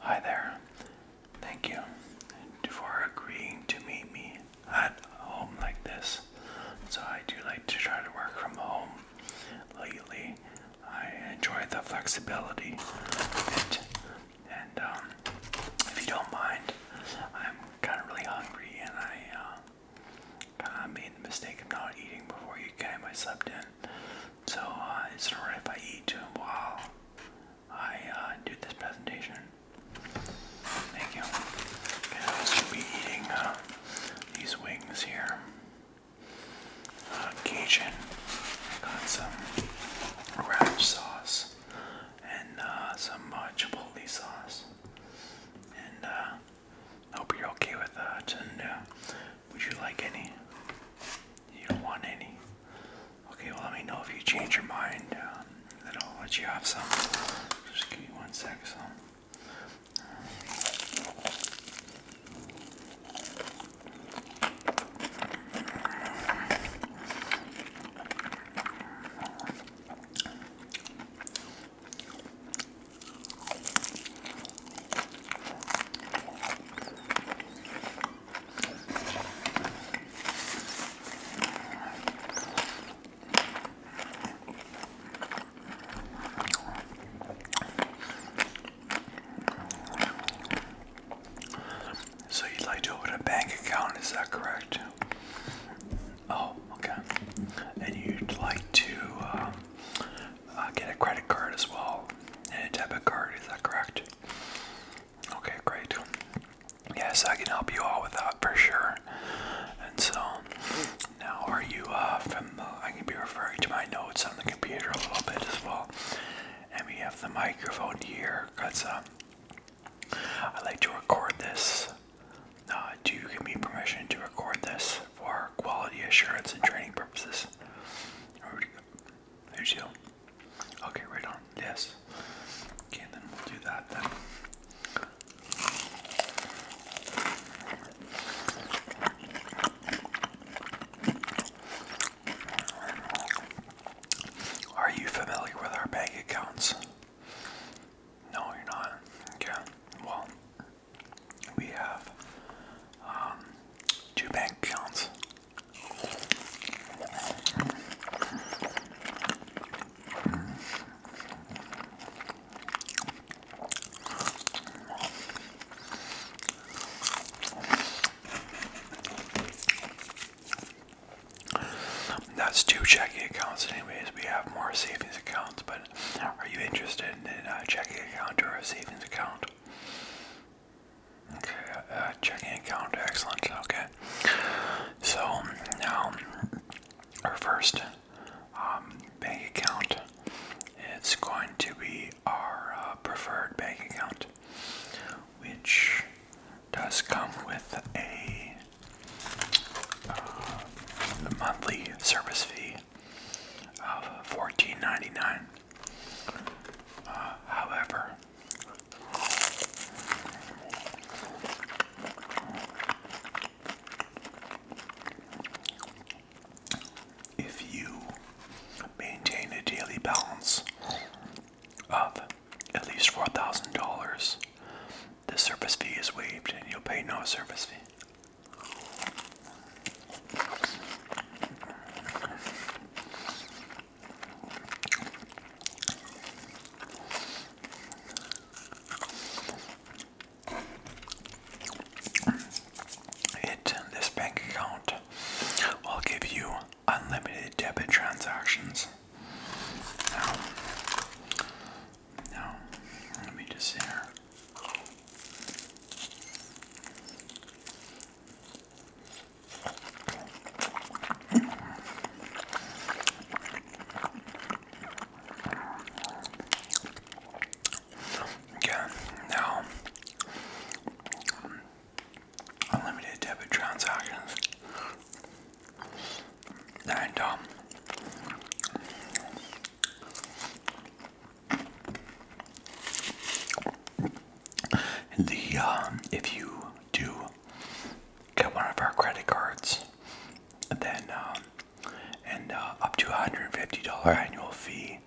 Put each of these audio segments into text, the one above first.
Hi there. Thank you for agreeing to meet me at home like this. So I do like to try to work from home lately. I enjoy the flexibility And um, if you don't mind, I'm kind of really hungry and I uh, kind of made the mistake of not eating before you came. I slept in. So uh, it's alright if I eat while I uh, do this presentation. Thank you. Okay, I be eating uh, these wings here. Uh, Cajun. got some ranch sauce and uh, some uh, chipotle sauce. And I uh, hope you're okay with that. And uh, would you like any? You don't want any? Okay, well, let me know if you change your mind. Um, then I'll let you have some. Just give me one so you'd like to open a bank account, is that correct? Oh, okay. And you'd like to um, uh, get a credit card as well and a debit card, is that correct? Okay, great. Yes, I can help you all with that for sure. And so, now are you uh, from? I can be referring to my notes on the computer a little bit as well. And we have the microphone here. Cause um, I like to record this. Uh, do you give me permission to record this for quality assurance and training purposes? There you go. Okay, right on. Yes. Okay, then we'll do that then. Are you familiar with our bank accounts? No, you're not. Okay. Well, we have um, two bank accounts. That's two checking accounts, anyways. We have more savings accounts, but are you interested in a checking account or a savings account? Okay, uh, checking account, excellent. Okay, so now our first um, bank account it's going to be our uh, preferred bank account, which does come with a uh, monthly service fee of $14.99. however, if you maintain a daily balance of at least $4,000, the service fee is waived and you'll pay no service fee. It this bank account will give you unlimited debit transactions. Now, now let me just see yeah, now unlimited debit transactions and um the um, if you do get one of our credit cards, then um, and uh, up to $150 annual fee,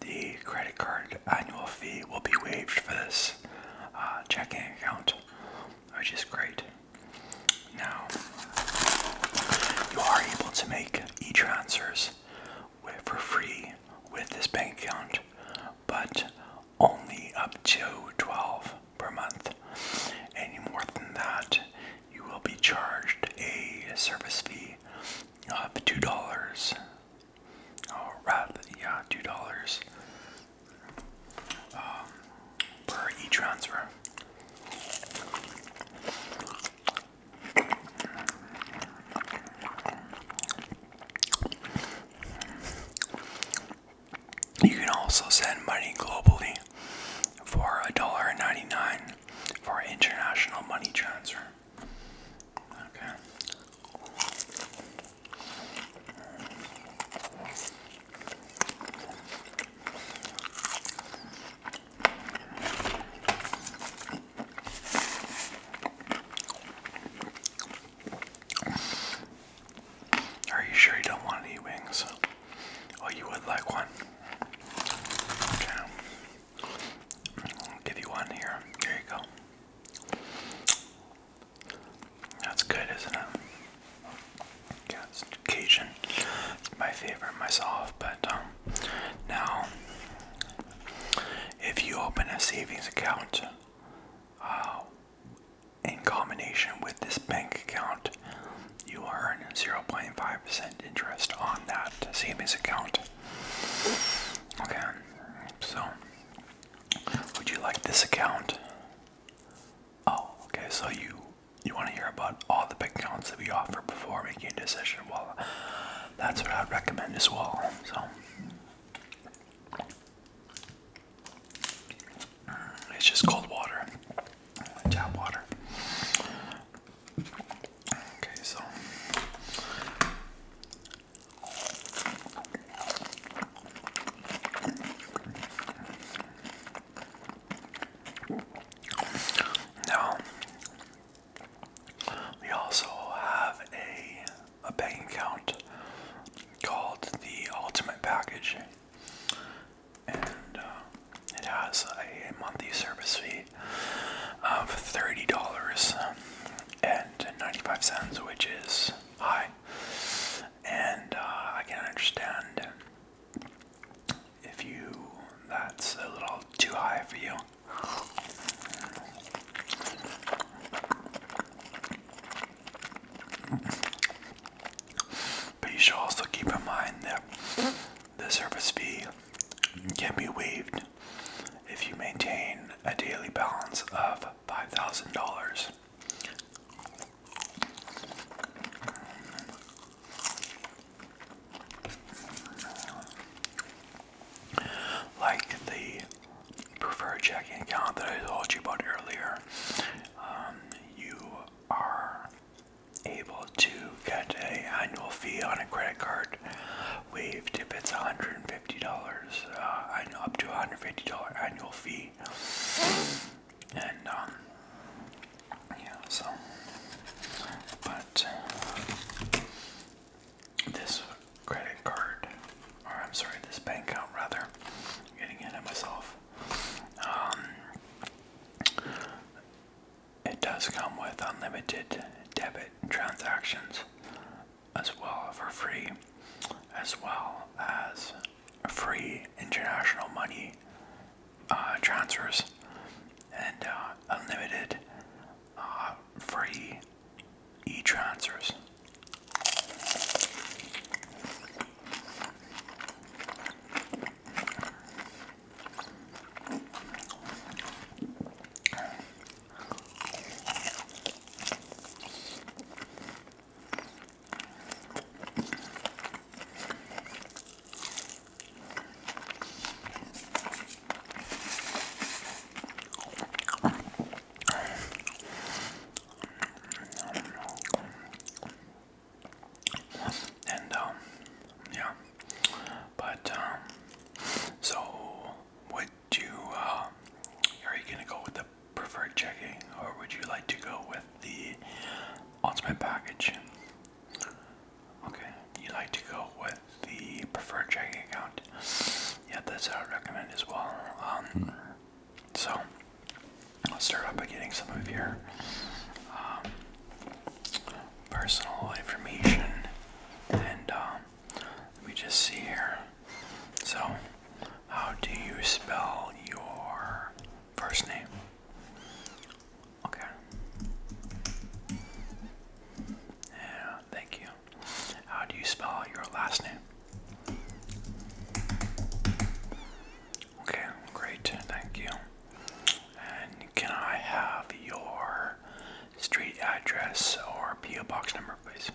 the credit card annual fee will be waived for this uh, checking account, which is great. Now, you are able to make e-transfers for free with this bank account, but only up to 12 per month. Any more than that, you will be charged a service fee of $2. Oh, rather, yeah, $2 um, per e-transfer. You can also send money globally for $1.99 for international money transfer. Okay. Are you sure you don't want any wings? Oh, you would like one. Okay. I'll give you one here. Here you go. That's good, isn't it? Yeah, it's Cajun. It's my favorite myself, but um, now, if you open a savings account, uh, in combination with this bank account, you earn 0.5% interest on that savings account. Okay, so would you like this account? Oh, okay, so you you want to hear about all the bank accounts that we offer before making a decision? Well, that's what I'd recommend as well. So it's just cold water, tap water. Okay, so now we also have a a bank account called the Ultimate Package, and uh, it has a monthly service fee of thirty dollars and ninety-five cents, which is high, and uh, I can understand if you that's a little too high for you. But you should also keep in mind that the service fee can be waived if you maintain a daily balance of $5,000. Like the preferred checking account that I told you about earlier, um, you are able to get an annual fee on a credit card waived if it's $150, and uh, up to $150 annual fee. And, um, yeah, so, but, this credit card, or I'm sorry, this bank account rather, getting in at myself. Um, it does come with unlimited debit transactions as well for free, as well as free international money uh, transfers and uh, unlimited uh, free e-transfers. And um, yeah, but um, so would you? Uh, are you gonna go with the preferred checking, or would you like to go with the ultimate package? Okay, you like to go with the preferred checking account yeah, that's what I recommend as well. Um, hmm. so, let's start off by getting some of your um, personal information, and um, let me just see here. So, how do you spell your first name? Okay. Yeah, thank you. How do you spell your last name? Okay, great, thank you. And can I have your street address or PO box number, please?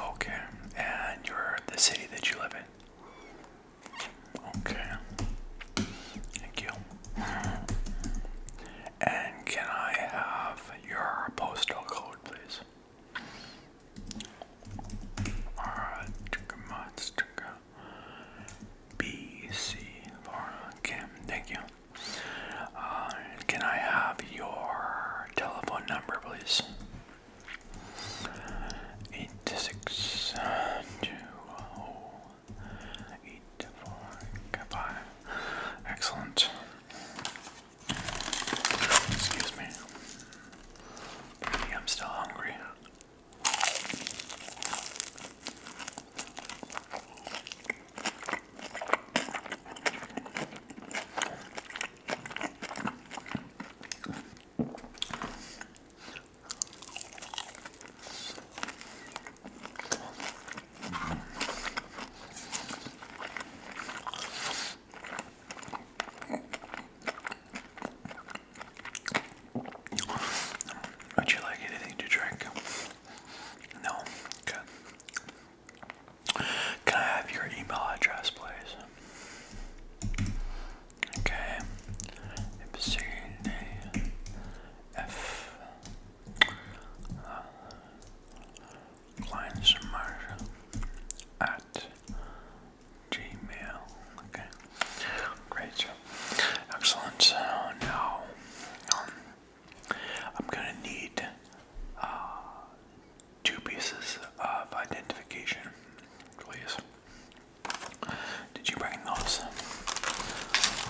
Okay, and your the city that you live in. Okay. Thank you. And can I have your postal code, please? Alright, B C for okay, thank you. Uh, can I have your telephone number, please? Eight six two oh Eight, four, goodbye. Excellent. Excuse me. I'm still hungry. Would you like anything to drink? No? Good. Can I have your email address, please? Okay. C D F Marsh at Gmail. Okay. Great job. Excellent. So now um, I'm gonna need uh, two pieces of identification, please. Did you bring those?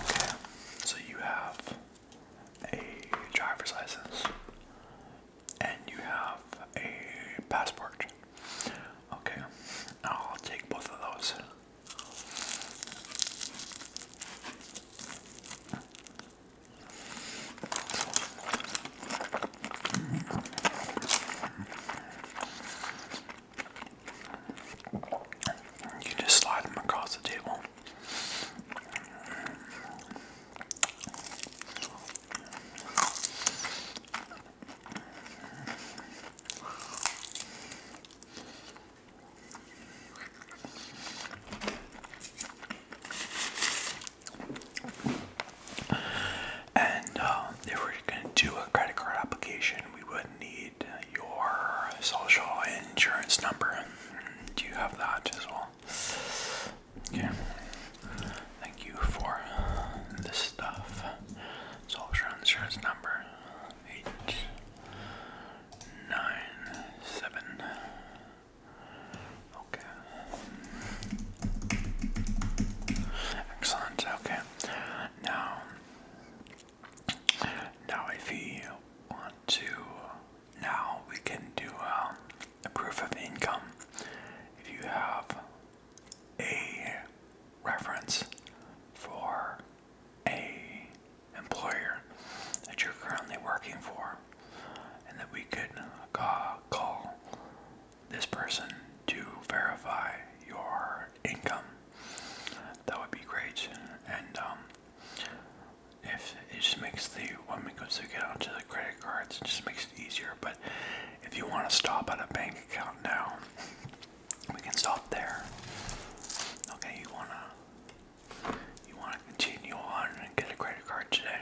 Okay, so you have a driver's license and you have a passport. Okay, I'll take both of those. You just slide them across the table. And um, if we're going to do a credit card application, we would need your social insurance number. Do you have that as well? Okay. Thank you for this stuff. Social insurance number eight nine seven. Okay. Excellent. Okay. Now now, if you want to, now we can do um, a proof of income. If you have a reference for a employer that you're currently working for, and that we could call this person to verify your income that would be great. And um, if it just makes the when we go to get onto the credit cards, it just makes it easier. But if you want to stop at a bank account now, we can stop there. Okay, you wanna you wanna continue on and get a credit card today.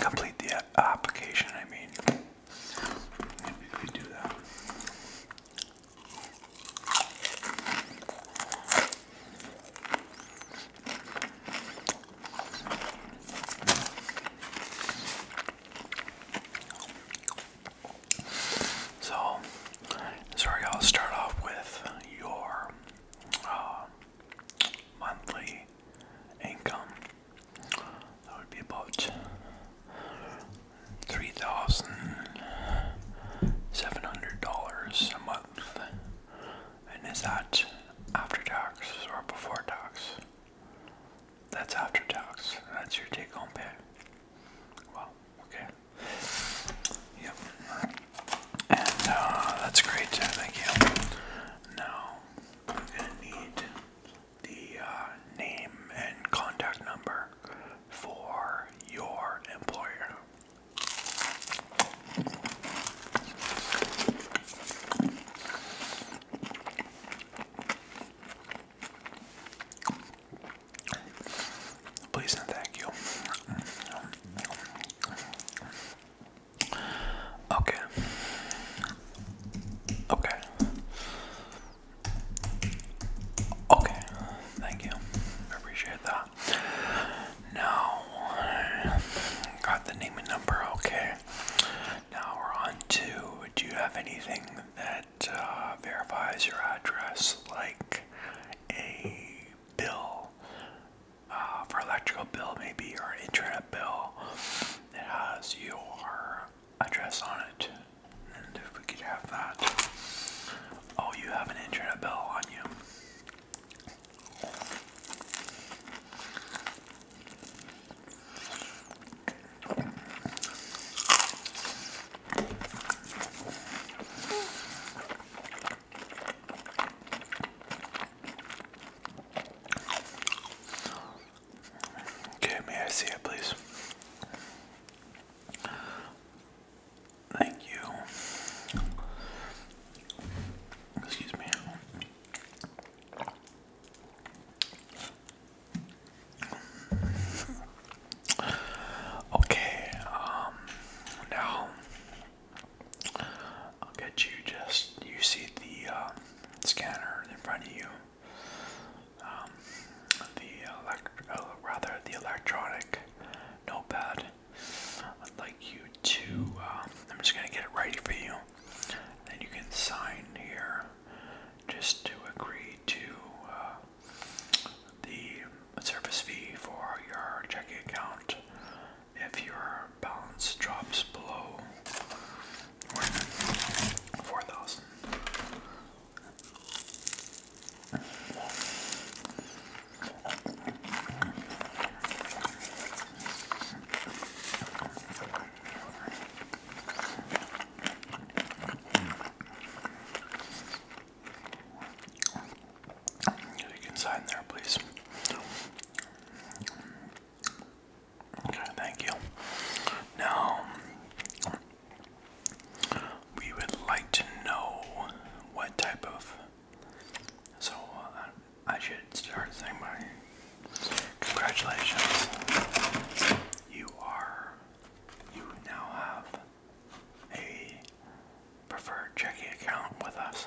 Complete the application, I mean. we do that. So, sorry, I'll start off with your uh, monthly income. That would be about three thousand seven hundred dollars a month. And is that after tax or before tax? That's after tax. That's your take home pay. Wow, okay. Yep. And uh, that's great. Thank you. Now I'm gonna need the uh, name and contact number for your employer. Please and thank you. Okay. Okay. Okay. Thank you. I appreciate that. Now, got the name and number. Okay. Now we're on to do you have anything that uh, verifies your address, like a bill, uh, for electrical bill maybe or internet bill that has your address on it. And if we could have that. Oh, you have an internet bill on you. Okay, may I see it, please? Thank you. Excuse me. Okay, um, now I'll get you just, you see the um, scanner in front of you. Um, the elect uh, rather the electronic notepad. I'd like you to. Um, I'm just gonna get it ready for you. Then you can sign here, just to agree to uh, the service fee for your checking account if your balance drops below 4,000. You can sign there, please. Okay, thank you. Now, we would like to know what type of. So, uh, I should start saying congratulations. You are. You now have a preferred checking account with us.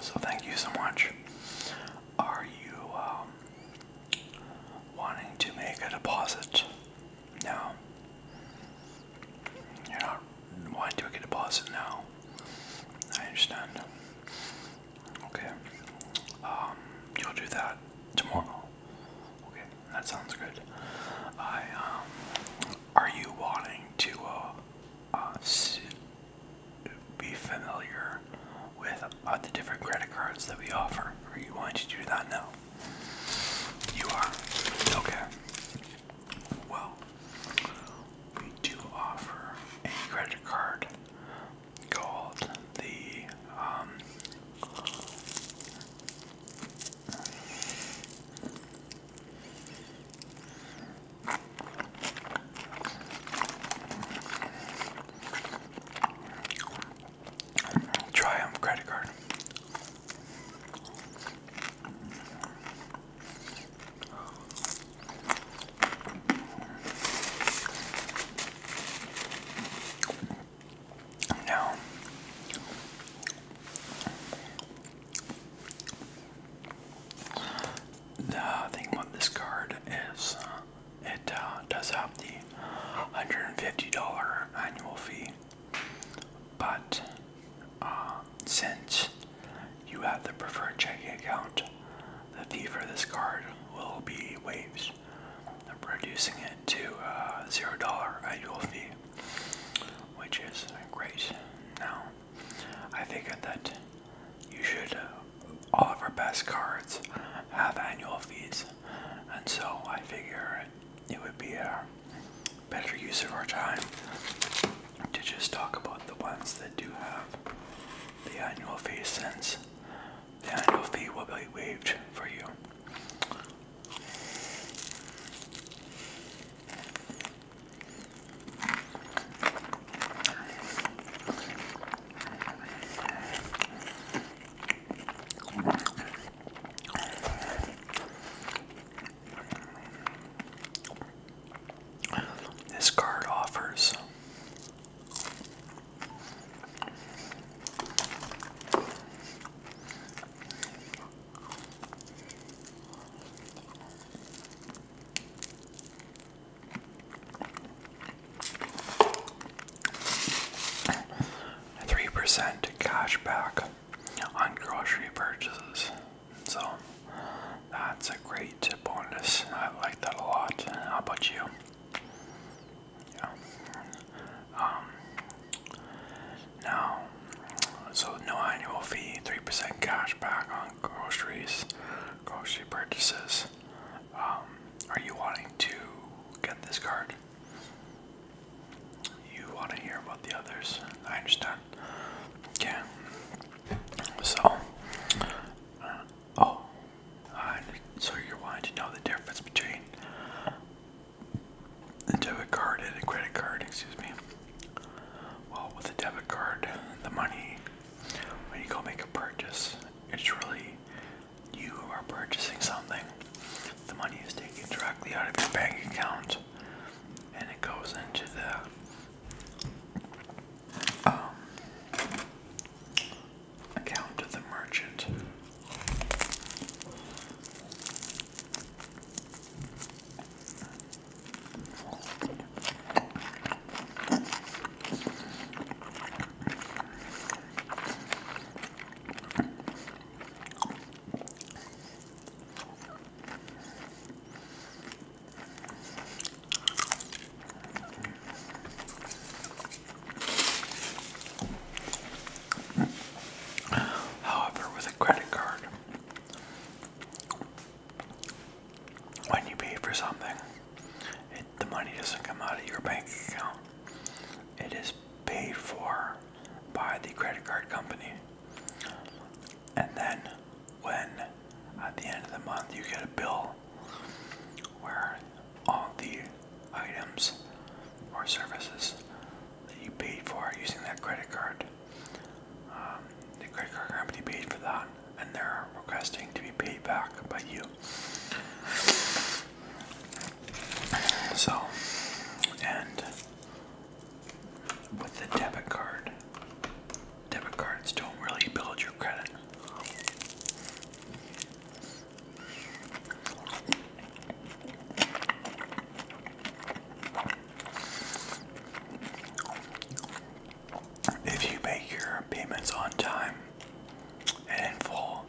So thank you so much. Are you um, wanting to make a deposit? No. You're not wanting to make a deposit now. I understand. Okay. Um, you'll do that tomorrow. Okay, that sounds good. I um, are you wanting to uh, uh, be familiar with uh, the different credit cards that we offer. Or you want you to not know? You are. Okay. Well, we do offer a credit card called the um, Triumph credit card. No the thing with this card is uh, it uh, does have the $150 annual fee, but uh, since you have the preferred checking account, the fee for this card will be waived, reducing it to a uh, $0 annual fee, which is great. Now, I figured that you should, uh, all of our best cards have annual fees, and so I figure it would be a better use of our time to just talk about the ones that do have the annual fee since the annual fee will be waived for you. This card offers Three percent cash back on grocery purchases. So that's a great bonus. I like that a lot. How about you? Um, now, so no annual fee, 3% cash on groceries, grocery purchases. Um, are you wanting to get this card? You want to hear about the others? I understand. Yeah. So, uh, oh, so you're wanting to know the difference between a debit card and a credit card? Excuse me. Well, with a debit card, the money, when you go make a purchase, it's really you are purchasing something. The money is taken directly out of your bank account and it goes into the um, account of the merchant. However, with a credit card, when you pay for something, the money doesn't come out of your bank account. It is paid for by the credit card company. And then, when at the end of the month you get a bill where all the items or services that you paid for using that credit card um, the credit card company paid for that, and they're requesting to be paid back by you. So, and with the debit card, debit cards don't really build your credit. If you make your payments on time and in full,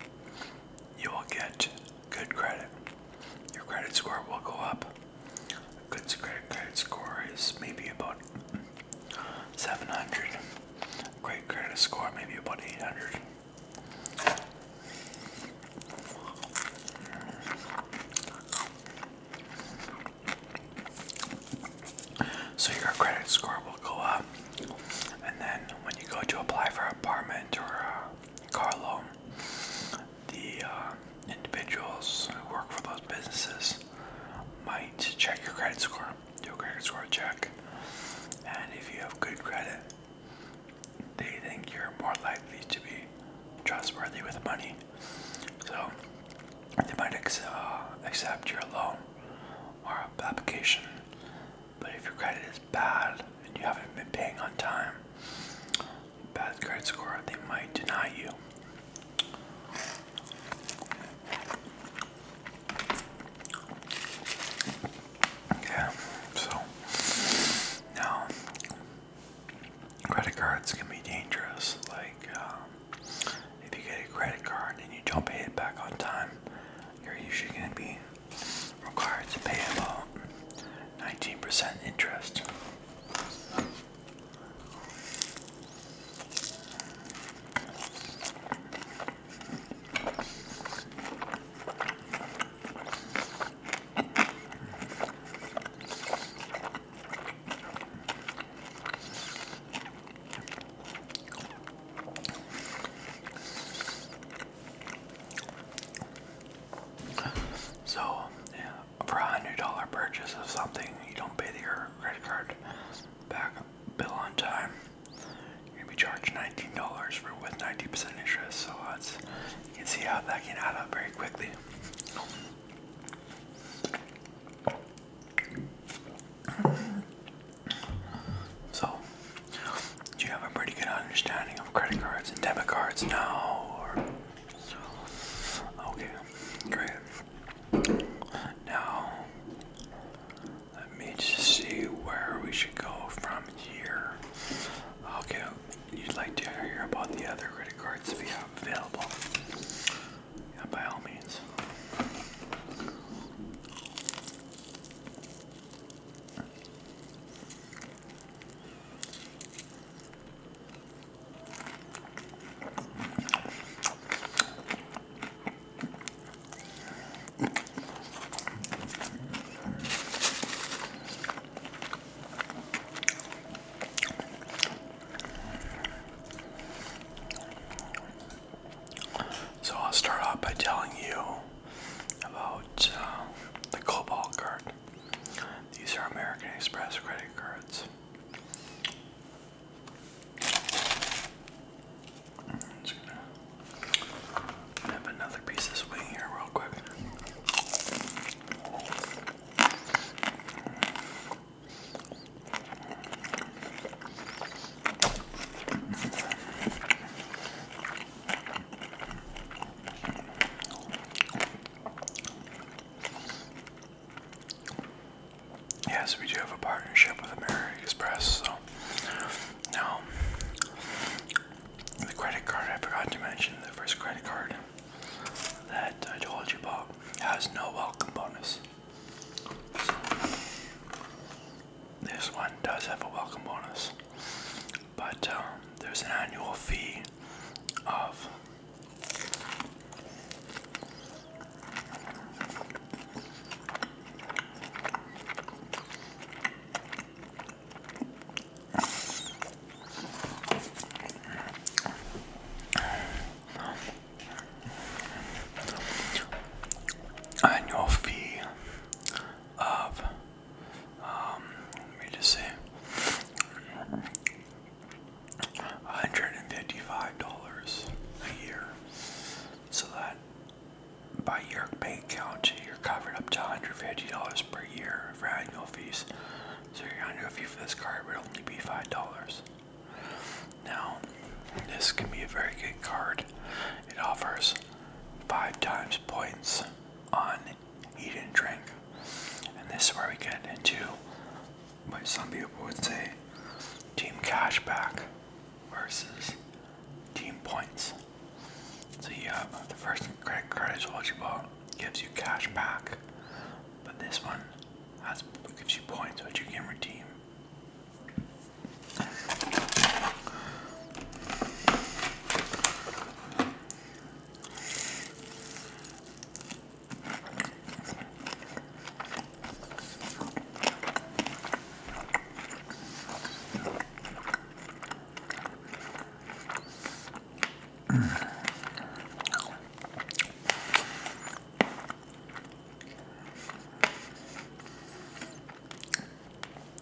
you will get good credit. Your credit score will go up. A good credit, score is maybe about 700. great credit score, maybe about 800. So your credit score will go up, and then when you go to apply for an apartment or a car loan, the uh, individuals who work for those businesses might check your credit score, do a credit score check, and if you have good credit, they think you're more likely to be trustworthy with money. So they might uh, accept your loan or application, but if your credit is bad and you haven't been paying on time, bad credit score, they might deny you. Okay, so now credit cards can be dangerous. Like, um, if you get a credit card and you don't pay it back on time, you're usually going to be required to pay about 19% interest. So, for a hundred dollar purchase of something, you don't pay your credit card bill on time. You're going be charged nineteen dollars for with ninety percent interest. So that's you can see how that can add up very quickly. So, do you have a pretty good understanding of credit cards and debit cards now? Okay, great. Now, let me just see where we should go from here. Okay, you'd like to hear about the other credit cards we have available yeah, by all means. So I'll start off by telling you about uh, the Cobalt card. These are American Express credit cards. just gonna nip another piece of swing here real quick. Yes, we do have a partnership with American Express, so now the credit card I forgot to mention, the first credit card that I told you about has no welcome bonus. This one does have a welcome bonus, but um, there's an annual fee of annual fee of um, let me just say $155 a year so that by your bank account you're covered up to $150 per year for annual fees so your annual fee for this card would only be $5 now, this can be a very good card. It offers five times points on eat and drink. And this is where we get into what some people would say team cashback versus team points. So you have the first credit card is what you bought gives you cash back, but this one that's gives you points, which you can redeem.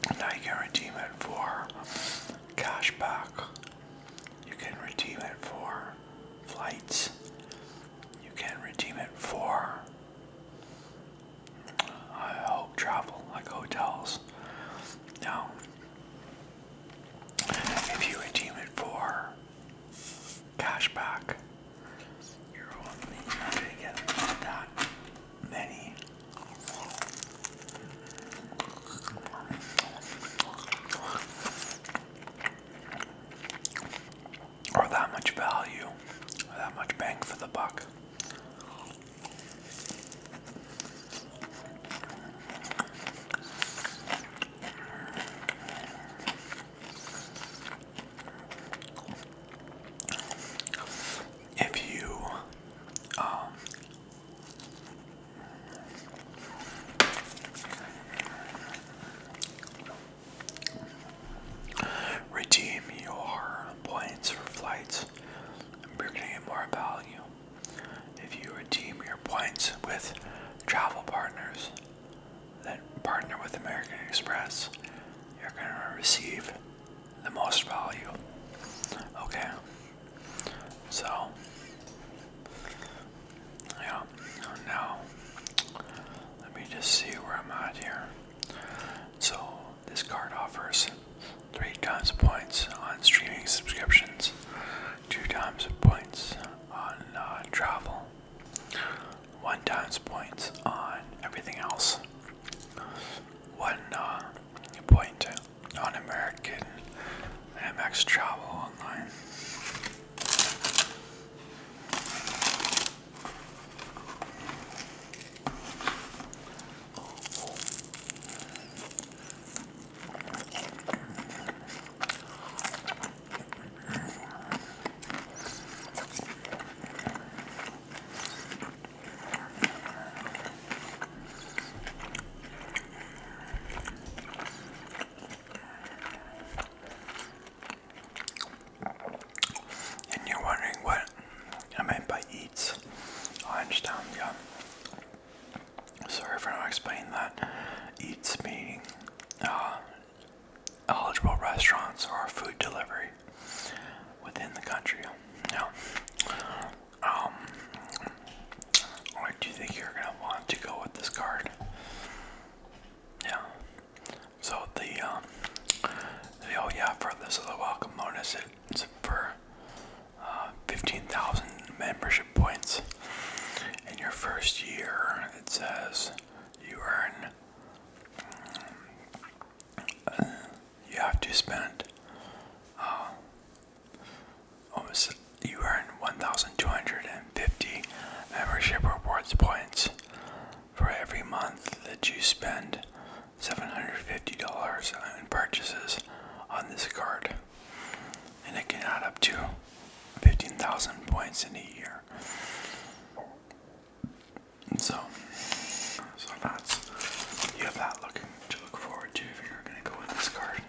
And I can redeem it for cash back. You can redeem it for flights. You can redeem it for travel like hotels. Now, if you redeem it for Cashback. You're only gonna get that many. Or that much value, that much bang for the buck. If you um, redeem your points for flights, you're going get more value. If you redeem your points with travel partners, that partner with American Express, you're going to receive the most value. Okay? So, yeah, now let me just see where I'm at here. So, this card offers three times points on streaming subscriptions, two times points on uh, travel one times points on everything else, one uh, point on American MX Travel Online. And you're wondering what I meant by eats. I yeah. Sorry for not explaining that. Eats meaning uh, eligible restaurants or food delivery within the country. Now, um, do you think you're gonna want to go with this card? Yeah. So the um, oh yeah, for this is a welcome bonus. it's for uh, fifteen thousand membership points in your first year. It says you earn, mm, you have to spend, uh, almost, you earn 1,250 membership rewards points for every month that you spend $750 in purchases on this card. And it can add up to 15,000 points in a year. So, so that's you have that to look forward to if you're going to go with this card.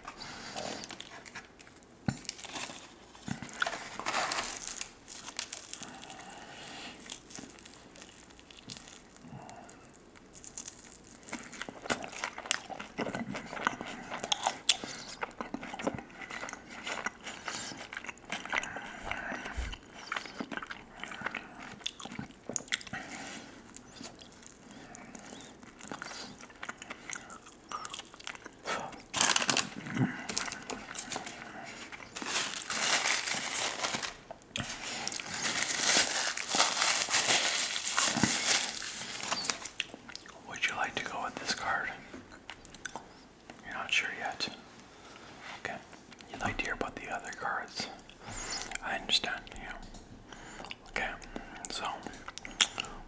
Would you like to go with this card? You're not sure yet. Okay. You'd like to hear about the other cards. I understand, yeah. Okay, so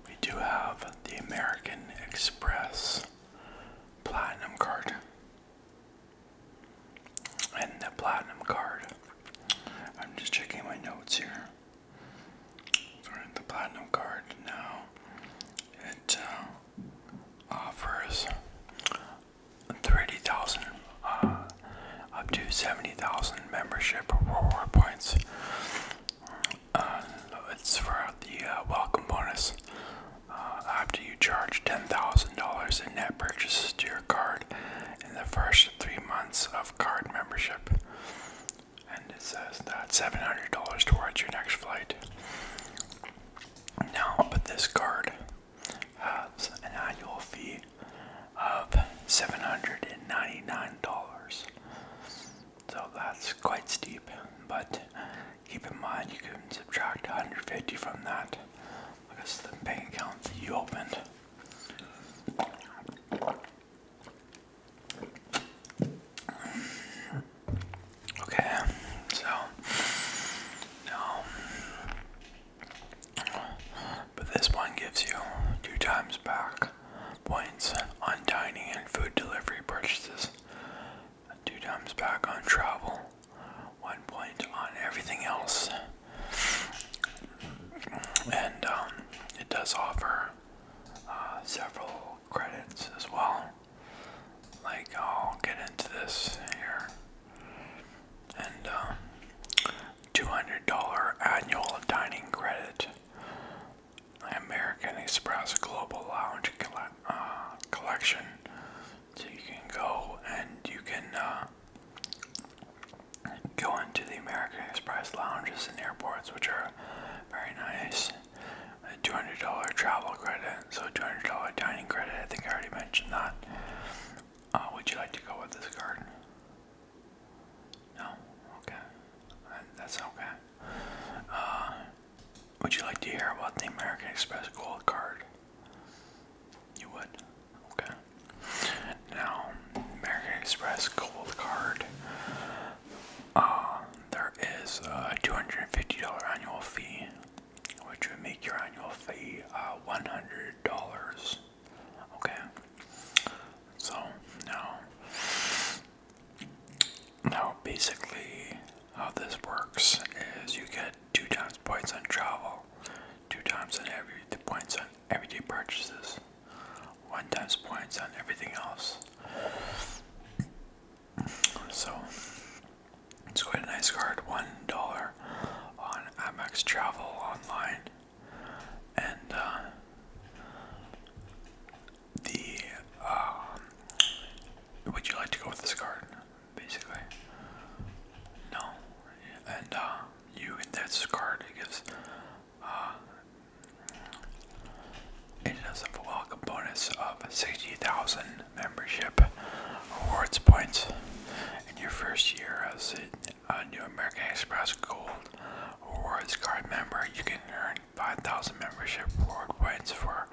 we do have the American Express Platinum card. And the Platinum card. I'm just checking my notes here. the Platinum card now. It uh, offers 30,000 uh, up to 70,000 membership reward points. Uh, it's for the uh, welcome bonus. Uh, after you charge $10,000 in net purchases to your card in the first three months of card membership, it says that $700 towards your next flight. No, but this card has an annual fee of $799. So that's quite steep, but keep in mind you can subtract 150 from that because the bank account that you opened. Okay, so now, but this one gives you two times back points on dining and food delivery purchases, two times back on travel, one point on everything else, and um, it does offer uh, several credits as well. Like, I'll get into this here. And, uh, um, $200 annual dining credit. American Express Global Lounge collect, uh, Collection. So you can go and you can uh, go into the American Express lounges in airports, which are very nice a $200 travel credit, so $200 dining credit. I think I already mentioned that. Uh, would you like to go with this card? No? Okay. Uh, that's okay. Uh, would you like to hear about the American Express Gold Card? You would? Okay. Now, American Express Gold Card um, there is a $250 annual fee, which would make your annual fee uh, $100. Okay, so now, now basically how this works is you get two times points on travel, two times on every the points on everyday purchases, one times points on everything else. So it's quite a nice card. One dollar on Amex Travel online, and uh, the um, would you like to go with this card? Basically, no. And uh, you, that's card. It gives uh, it has a bonus of 60,000 membership rewards points in your first year as a new American Express Gold Rewards Card member. You can earn 5,000 membership reward points for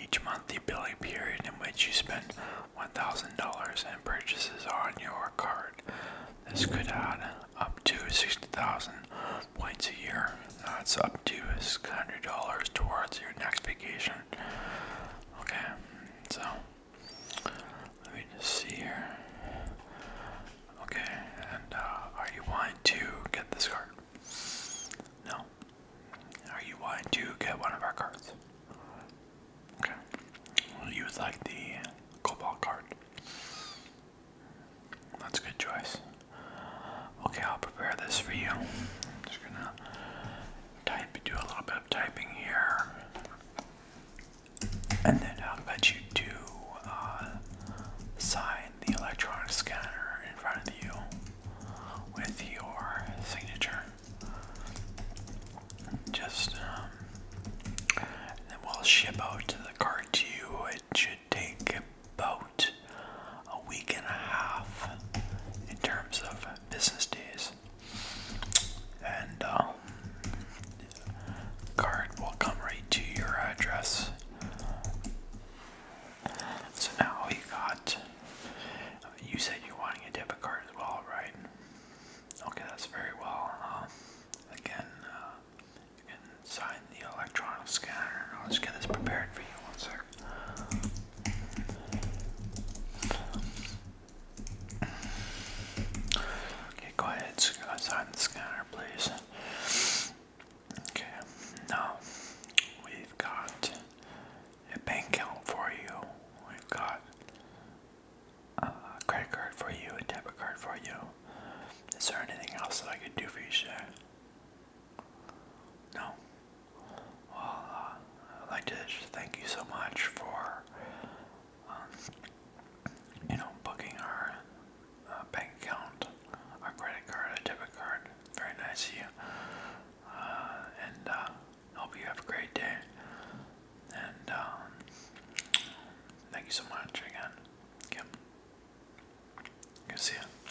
each monthly billing period in which you spend $1,000 in purchases on your card. This could add up to 60,000 points a year that's up to hundred dollars towards your next vacation. Okay, so let me just see here. Okay, and uh, are you wanting to get this card? No. Are you wanting to get one of our cards? Okay. We'll like the cobalt card. That's a good choice. Okay, I'll prepare this for you. I'm just gonna type, do a little bit of typing here, and then I'll let you do uh, sign the electronic scanner in front of you with your signature. Just, um, then we'll ship out the card to you. It should should take about a week and a half in terms of business days. And um, card will come right to your address. So now you got. You said you're wanting a debit card as well, right? Okay, that's very well. Uh, again, uh, you can sign the electronic scanner. I'll just get this prepared for you one sec. Okay, go ahead, sign the scanner, please. Okay, now we've got a bank account for you. We've got uh, a credit card for you, a debit card for you. Is there anything else that I could do for you sir? No. Well, I'd like to thank you so much for, um, you know, booking our uh, bank account, our credit card, our debit card. Very nice of you. Uh, and uh, hope you have a great day. And um, thank you so much again. Yep. Good